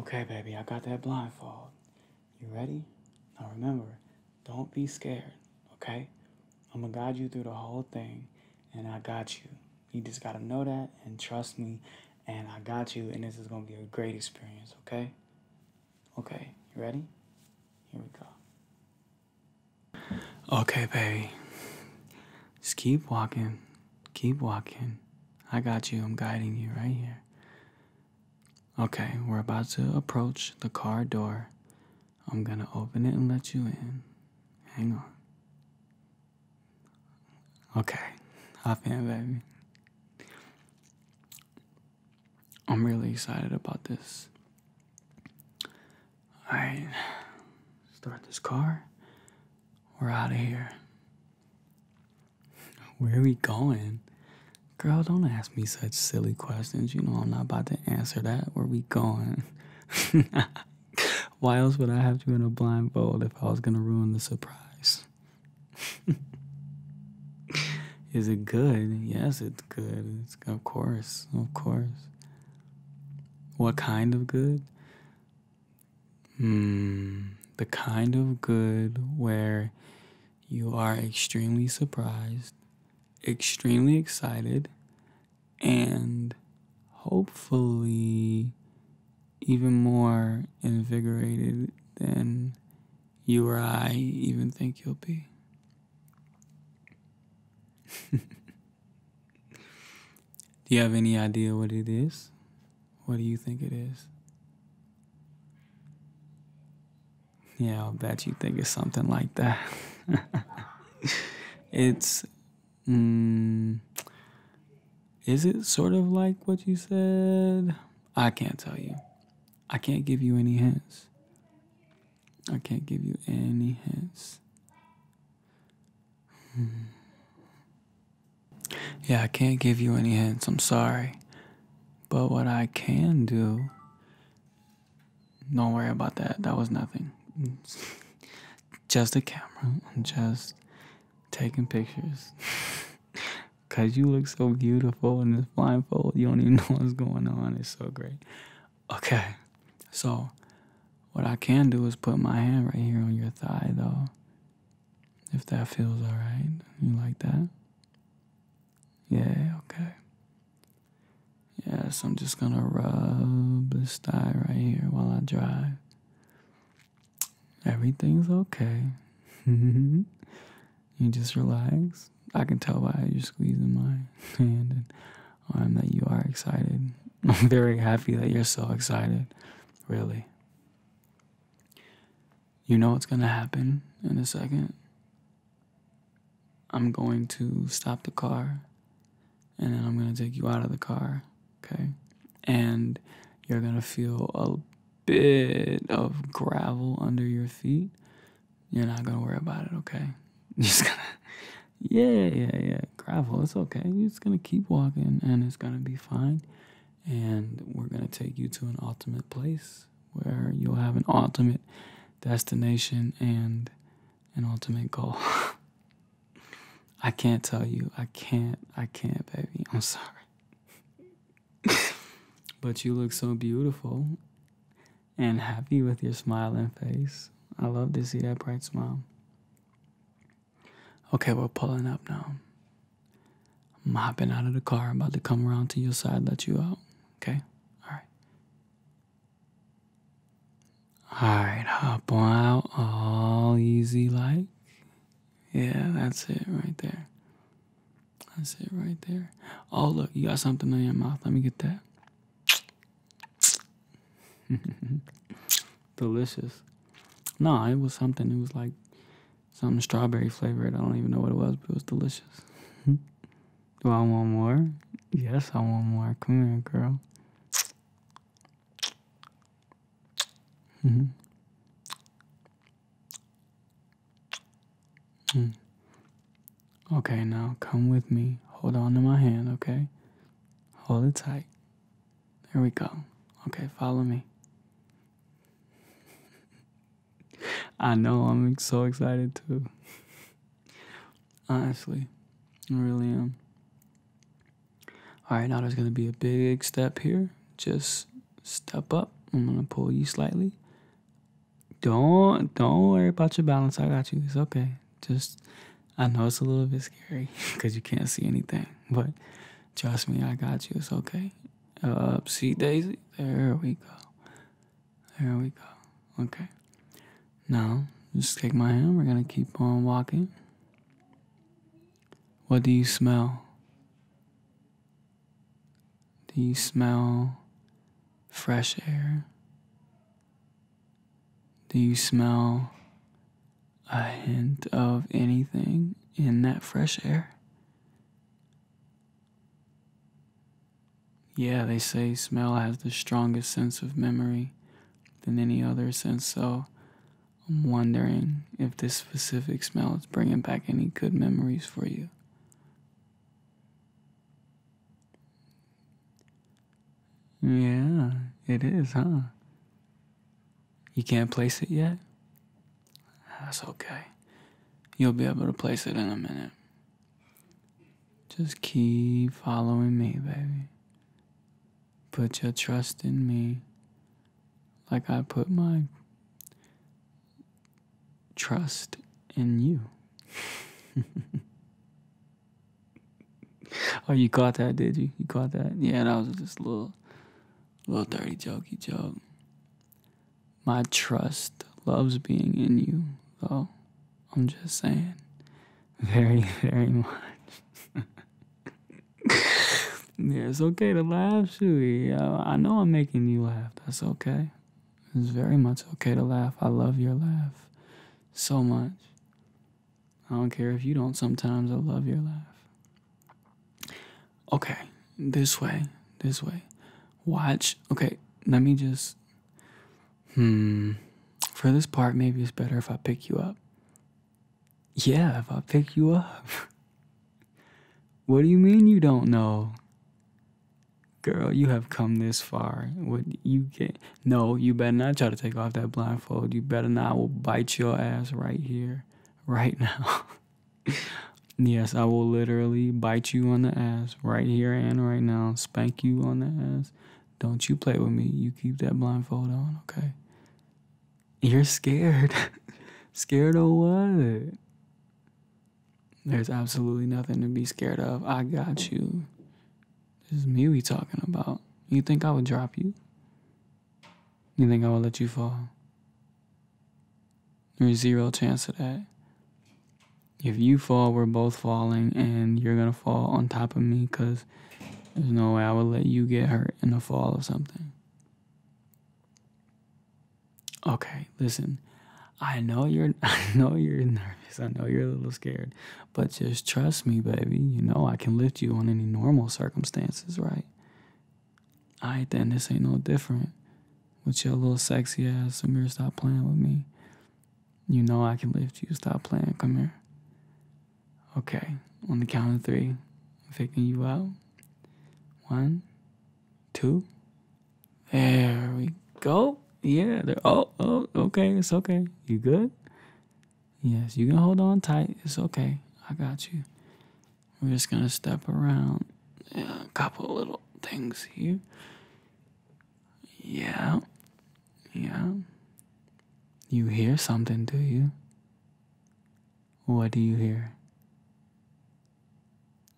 Okay, baby, I got that blindfold. You ready? Now remember, don't be scared, okay? I'm gonna guide you through the whole thing, and I got you. You just gotta know that and trust me, and I got you, and this is gonna be a great experience, okay? Okay, you ready? Here we go. Okay, baby. Just keep walking Keep walking. I got you. I'm guiding you right here. Okay, we're about to approach the car door. I'm going to open it and let you in. Hang on. Okay, hop in, baby. I'm really excited about this. Alright, start this car. We're out of here. Where are we going? Girl, don't ask me such silly questions. You know I'm not about to answer that. Where are we going? Why else would I have you in a blindfold if I was gonna ruin the surprise? Is it good? Yes, it's good. It's of course, of course. What kind of good? Hmm, the kind of good where you are extremely surprised, extremely excited, and hopefully even more invigorated than you or I even think you'll be. Do you have any idea what it is? What do you think it is? Yeah, I'll bet you think it's something like that. it's. Mm, is it sort of like what you said? I can't tell you. I can't give you any hints. I can't give you any hints. Hmm. Yeah, I can't give you any hints. I'm sorry. But what I can do. Don't worry about that. That was nothing. just a camera. I'm just taking pictures. Cause you look so beautiful in this blindfold. You don't even know what's going on. It's so great. Okay. So what I can do is put my hand right here on your thigh though. If that feels alright, you like that? Yeah, okay. Yes, I'm just gonna rub this thigh right here while I drive. Everything's okay. you just relax. I can tell by you're squeezing my hand and arm that you are excited. I'm very happy that you're so excited, really. You know what's going to happen in a second. I'm going to stop the car and then I'm going to take you out of the car, okay? And you're going to feel a bit of gravel under your feet. You're not going to worry about it, okay? just going to yeah, yeah, yeah. Gravel, it's okay. You're just gonna keep walking and it's gonna be fine and we're going to take you to an ultimate place where you'll have an ultimate destination and an ultimate goal. I can't tell you. I can't. I can't, baby. I'm sorry. but you look so beautiful and happy with your smiling face. I love to see that bright smile. Okay, we're pulling up now. I'm hopping out of the car, about to come around to your side, let you out. Okay? Alright. Alright, hop on out all easy like. Yeah, that's it right there. That's it right there. Oh, look, you got something in your mouth. Let me get that. Delicious. No, it was something. It was like something strawberry flavored. I don't even know what it was, but it was delicious. Hmm. Do I want more? Yes, I want more. Come here, girl. Mm-hmm. Hmm. Okay, now come with me. Hold on to my hand, okay? Hold it tight. There we go. Okay, follow me. I know, I'm so excited too. Honestly, I really am. All right, now there's going to be a big step here. Just step up. I'm going to pull you slightly. Don't don't worry about your balance. I got you. It's okay. Just I know it's a little bit scary cuz you can't see anything, but trust me, I got you. It's okay. Uh, see Daisy? There we go. There we go. Okay. Now, just take my hand. We're going to keep on walking. What do you smell? Do you smell fresh air? Do you smell a hint of anything in that fresh air? Yeah, they say smell has the strongest sense of memory than any other sense, so I'm wondering if this specific smell is bringing back any good memories for you. Yeah, it is, huh? You can't place it yet? That's okay. You'll be able to place it in a minute. Just keep following me, baby. Put your trust in me like I put my trust in you. oh, you caught that, did you? You caught that? Yeah, that was just a little Little dirty jokey joke. My trust loves being in you, though. I'm just saying. Very, very much. yeah, it's okay to laugh, Shuey. I know I'm making you laugh. That's okay. It's very much okay to laugh. I love your laugh so much. I don't care if you don't sometimes. I love your laugh. Okay, this way, this way. Watch. Okay, let me just. Hmm. For this part, maybe it's better if I pick you up. Yeah, if I pick you up. what do you mean you don't know? Girl, you have come this far. What you get? No, you better not try to take off that blindfold. You better not. I will bite your ass right here, right now. yes, I will literally bite you on the ass right here and right now, spank you on the ass. Don't you play with me. You keep that blindfold on, okay? You're scared. scared of what? There's absolutely nothing to be scared of. I got you. This is me we talking about. You think I would drop you? You think I will let you fall? There's zero chance of that. If you fall, we're both falling, and you're gonna fall on top of me because there's no way I will let you get hurt in the fall of something. Okay, listen. I know you're I know you're nervous. I know you're a little scared. But just trust me, baby. You know I can lift you on any normal circumstances, right? I then this ain't no different. With your little sexy ass, Samir, stop playing with me. You know I can lift you. Stop playing. Come here. Okay. On the count of three, I'm faking you out. One, two. There we go. Yeah. There. Oh, oh, okay. It's okay. You good? Yes. You can hold on tight. It's okay. I got you. We're just gonna step around a couple little things here. Yeah, yeah. You hear something, do you? What do you hear?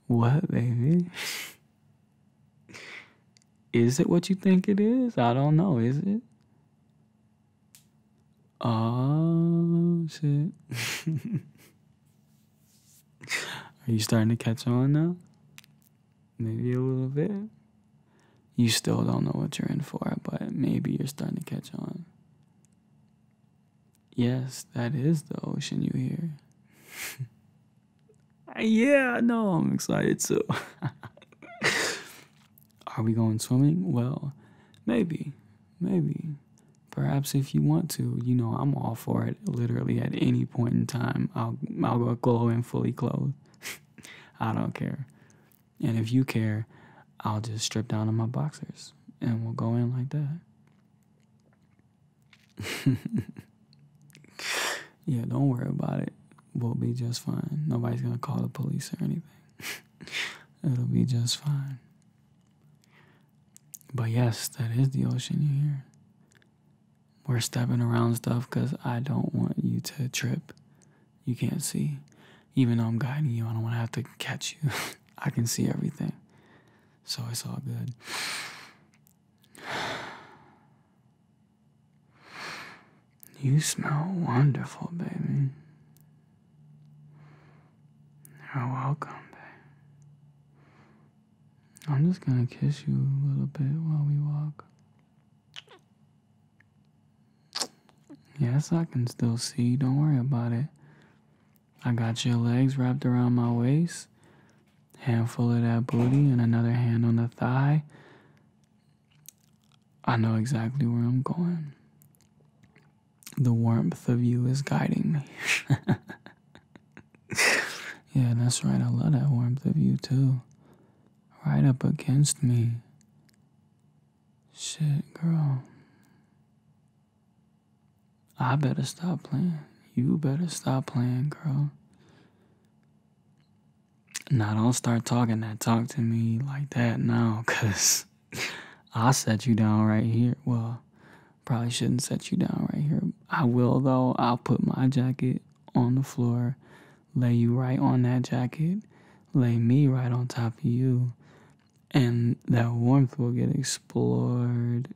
What, baby? is it what you think it is? I don't know, is it? Oh shit. Are you starting to catch on now? Maybe a little bit. You still don't know what you're in for, but maybe you're starting to catch on. Yes, that is the ocean you hear. yeah, I know, I'm excited too. Are we going swimming? Well, maybe. Maybe perhaps if you want to, you know, I'm all for it. Literally at any point in time, I'll I'll go in fully clothed. I don't care. And if you care, I'll just strip down to my boxers and we'll go in like that. yeah, don't worry about it. We'll be just fine. Nobody's gonna call the police or anything. It'll be just fine. But yes, that is the ocean you hear. We're stepping around stuff because I don't want you to trip. You can't see. Even though I'm guiding you, I don't want to have to catch you. I can see everything. So it's all good. You smell wonderful, baby. You're welcome, I'm just gonna kiss you a little bit while we walk. Yes, I can still see. Don't worry about it. I got your legs wrapped around my waist, handful of that booty, and another hand on the thigh. I know exactly where I'm going the warmth of you is guiding me. yeah, that's right. I love that warmth of you too. Right up against me. Shit, girl. I better stop playing. You better stop playing, girl. Now, don't start talking that talk to me like that now, because I'll set you down right here. Well, probably shouldn't set you down right here. I will, though. I'll put my jacket on the floor, lay you right on that jacket, lay me right on top of you, and that warmth will get explored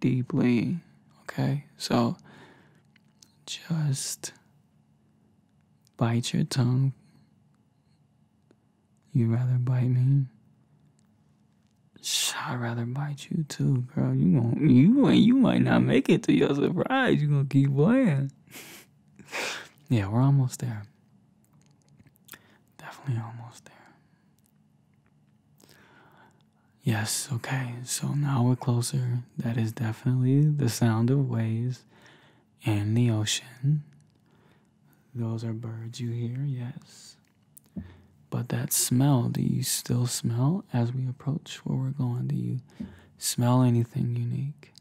deeply. Okay? So, just bite your tongue you would rather bite me? I'd rather bite you too, girl. You gon' you and you might not make it to your surprise. You gonna keep playing. yeah, we're almost there. Definitely almost there. Yes, okay, so now we're closer. That is definitely the sound of waves and the ocean. Those are birds you hear, yes. But that smell, do you still smell as we approach where we're going? Do you smell anything unique?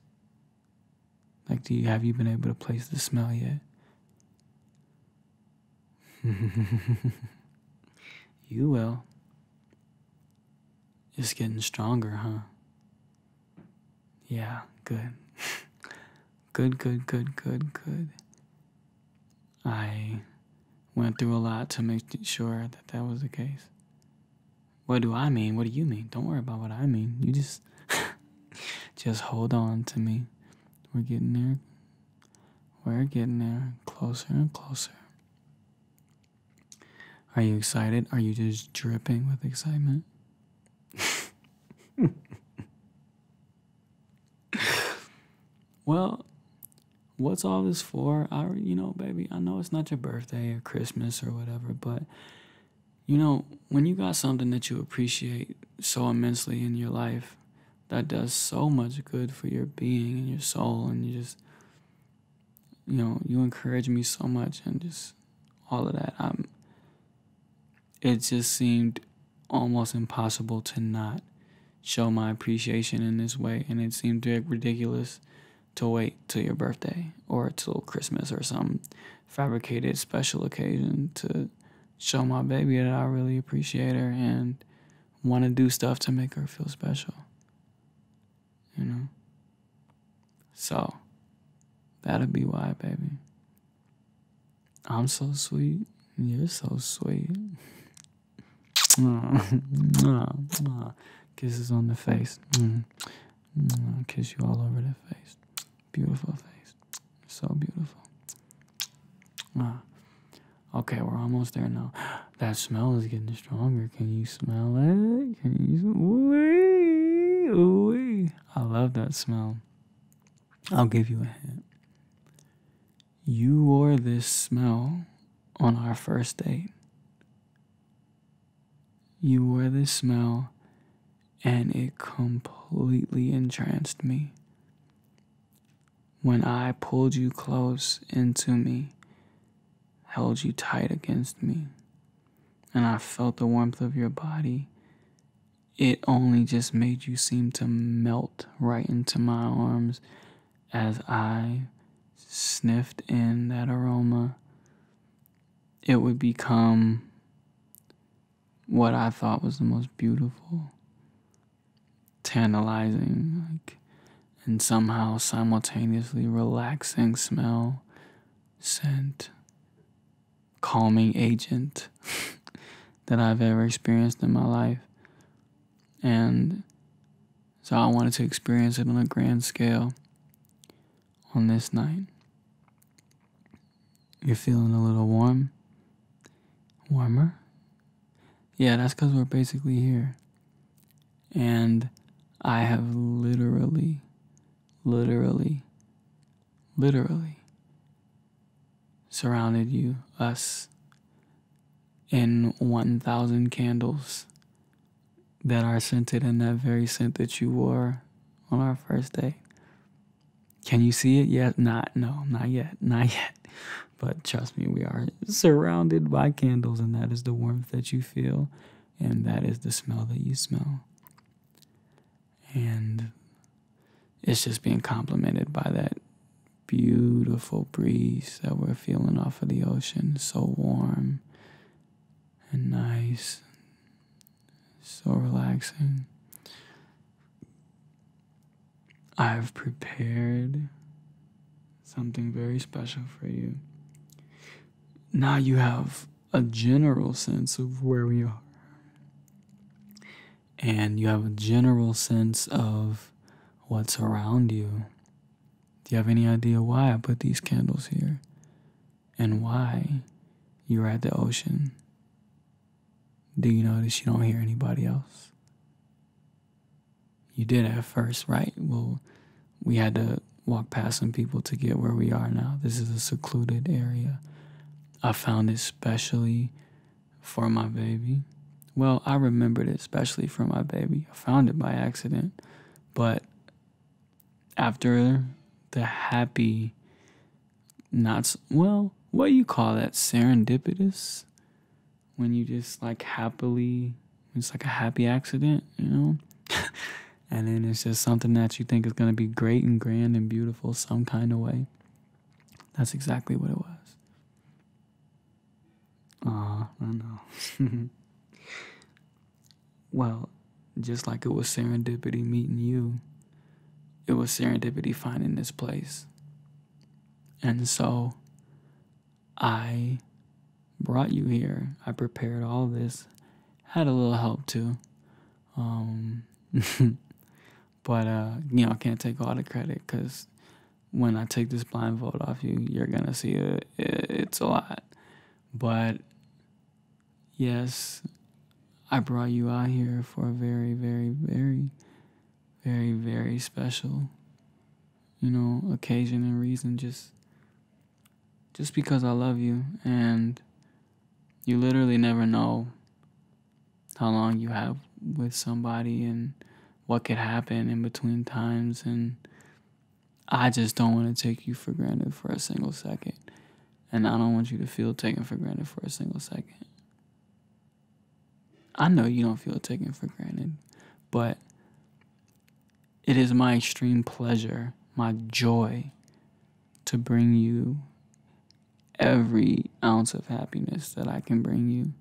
Like, do you have you been able to place the smell yet? you will. It's getting stronger, huh? Yeah, good. Good, good, good, good, good. I went through a lot to make sure that that was the case. What do I mean? What do you mean? Don't worry about what I mean. You just just hold on to me. We're getting there. We're getting there closer and closer. Are you excited? Are you just dripping with excitement? well, what's all this for? I, you know, baby, I know it's not your birthday or Christmas or whatever, but you know, when you got something that you appreciate so immensely in your life, that does so much good for your being and your soul, and you just, you know, you encourage me so much and just all of that. I'm, it just seemed almost impossible to not show my appreciation in this way. And it seemed ridiculous to wait till your birthday or till Christmas or some fabricated special occasion to show my baby that I really appreciate her and want to do stuff to make her feel special. You know? So, that'll be why, baby. I'm so sweet. You're so sweet. Mm, mm, mm, Kisses on the face. I'll kiss you all over the face. Beautiful face. So beautiful. Ah. Okay, we're almost there now. That smell is getting stronger. Can you smell it? Can you? Ooh, ooh. I love that smell. I'll give you a hint. You wore this smell on our first date. You wore this smell and it completely entranced me. When I pulled you close into me, held you tight against me, and I felt the warmth of your body it only just made you seem to melt right into my arms as I sniffed in that aroma. It would become what I thought was the most beautiful, tantalizing, and somehow simultaneously relaxing smell, scent, calming agent that I've ever experienced in my life. And so I wanted to experience it on a grand scale on this night. You're feeling a little warm? Warmer? Yeah, that's because we're basically here. And I have literally, literally literally surrounded you, us, in 1,000 candles that are scented in that very scent that you wore on our first date. Can you see it yet? Not, no, not yet, not yet. But trust me, we are surrounded by candles, and that is the warmth that you feel, and that is the smell that you smell. And it's just being complimented by that beautiful breeze that we're feeling off of the ocean. So warm and nice, so relaxing. I've prepared something very special for you. Now you have a general sense of where we are and you have a general sense of what's around you. Do you have any idea why I put these candles here and why you're at the ocean? Do you notice you don't hear anybody else? You did at first, right? Well, we had to walk past some people to get where we are now. This is a secluded area. I found it specially for my baby. Well, I remembered it especially for my baby. I found it by accident. But after the happy, not well, what do you call that? Serendipitous? When you just like happily, it's like a happy accident, you know? and then it's just something that you think is going to be great and grand and beautiful some kind of way. That's exactly what it was. Aw, I know. well, just like it was serendipity meeting you, it was serendipity finding this place. And so I brought you here. I prepared all this. Had a little help too. Um, But uh, you know, I can't take all the credit because when I take this blindfold off you, you're gonna see it. It's a lot, but yes, I brought you out here for a very, very, very, very, very special, you know, occasion and reason. Just, just because I love you, and you literally never know how long you have with somebody and what could happen in between times and I just don't want to take you for granted for a single second. And I don't want you to feel taken for granted for a single second. I know you don't feel taken for granted, but it is my extreme pleasure, my joy to bring you every ounce of happiness that I can bring you.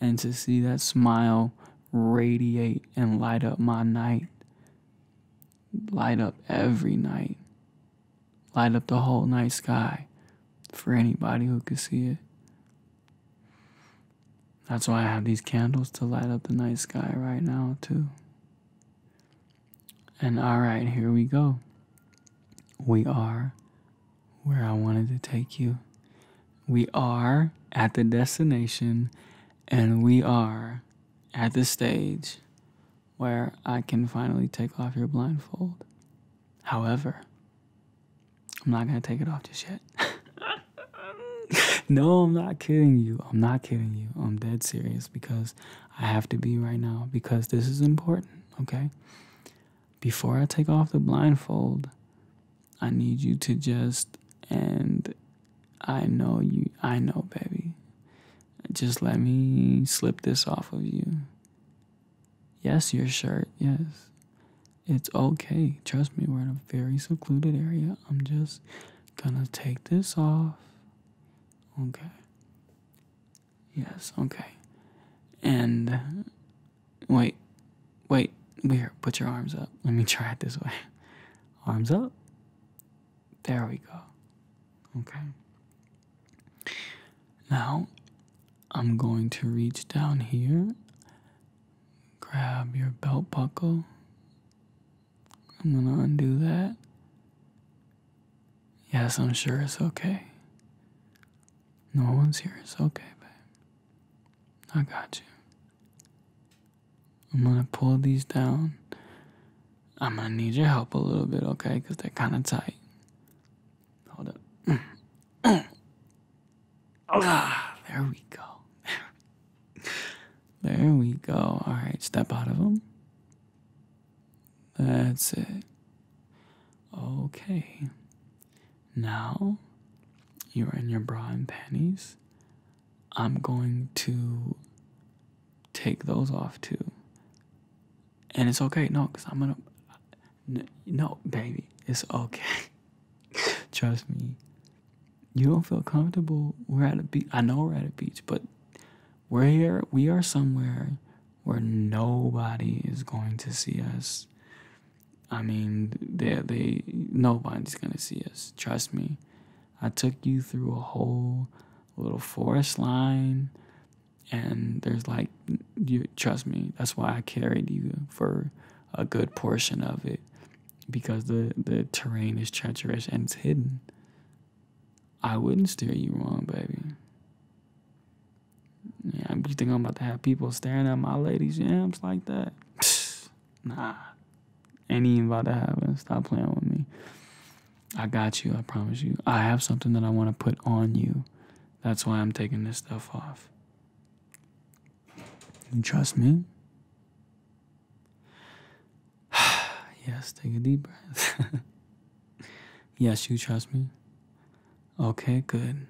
And to see that smile radiate and light up my night, light up every night, light up the whole night sky for anybody who could see it. That's why I have these candles to light up the night sky right now, too. And all right, here we go. We are where I wanted to take you. We are at the destination and we are at the stage where I can finally take off your blindfold. However, I'm not going to take it off just yet. no, I'm not kidding you. I'm not kidding you. I'm dead serious because I have to be right now because this is important, okay? before I take off the blindfold, I need you to just and I know you, I know, baby. Just let me slip this off of you. Yes, your shirt, yes. It's okay. Trust me, we're in a very secluded area. I'm just gonna take this off. Okay. Yes, okay. And wait, wait, here, put your arms up. Let me try it this way. Arms up. There we go. Okay. Now, I'm going to reach down here, grab your belt buckle. I'm going to undo that. Yes, I'm sure it's okay. No one's here. It's okay, babe. I got you. I'm gonna pull these down. I'm gonna need your help a little bit, okay? Because they're kind of tight. Hold up. Ah, there we go. there we go. All right, step out of them. That's it. Okay. Now you're in your bra and panties. I'm going to take those off too. And it's okay. No, because I'm going to. No, baby. It's okay. Trust me. You don't feel comfortable. We're at a beach. I know we're at a beach, but we're here. We are somewhere where nobody is going to see us. I mean, they they nobody's gonna see us. Trust me. I took you through a whole little forest line, and there's like, trust me. That's why I carried you for a good portion of it, because the the terrain is treacherous and it's hidden. I wouldn't steer you wrong, baby. Yeah, you think I'm about to have people staring at my ladies' jams like that? nah, ain't even about to happen. Stop playing with me. I got you. I promise you. I have something that I want to put on you. That's why I'm taking this stuff off. You trust me? yes, take a deep breath. Yes, you trust me? Okay, good.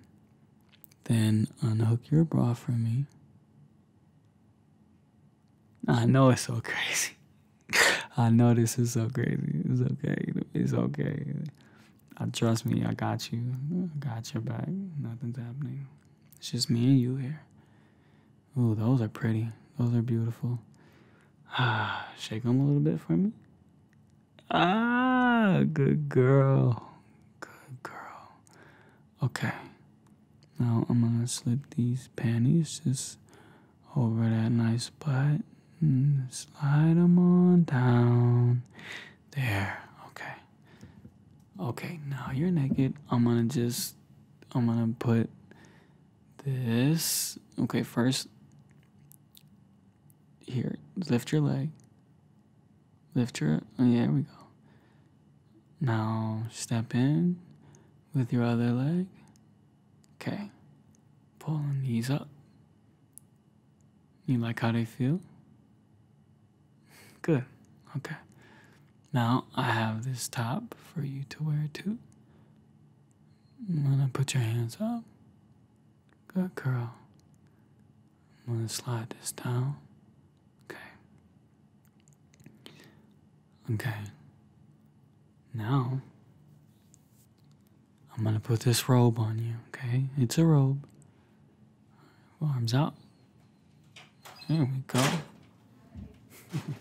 Then unhook your bra for me. I know it's so crazy. I know this is so crazy. It's okay. It's okay. I uh, trust me. I got you. got your back. Nothing's happening. It's just me and you here. Ooh, those are pretty. Those are beautiful. Ah, shake them a little bit for me. Ah, good girl. Good girl. Okay. Now I'm gonna slip these panties just over that nice butt and slide them on down. There. Okay. Okay, now you're naked. I'm gonna just, I'm gonna put this. Okay, first, here, lift your leg. Lift your. Oh, yeah, there we go. Now step in with your other leg. Okay. pulling knees up. You like how they feel? Good. Okay. Now I have this top for you to wear too. I'm gonna put your hands up. Good girl. I'm going to slide this down. Okay. Okay. Now, I'm going to put this robe on you, okay? It's a robe. Arms out. There we go.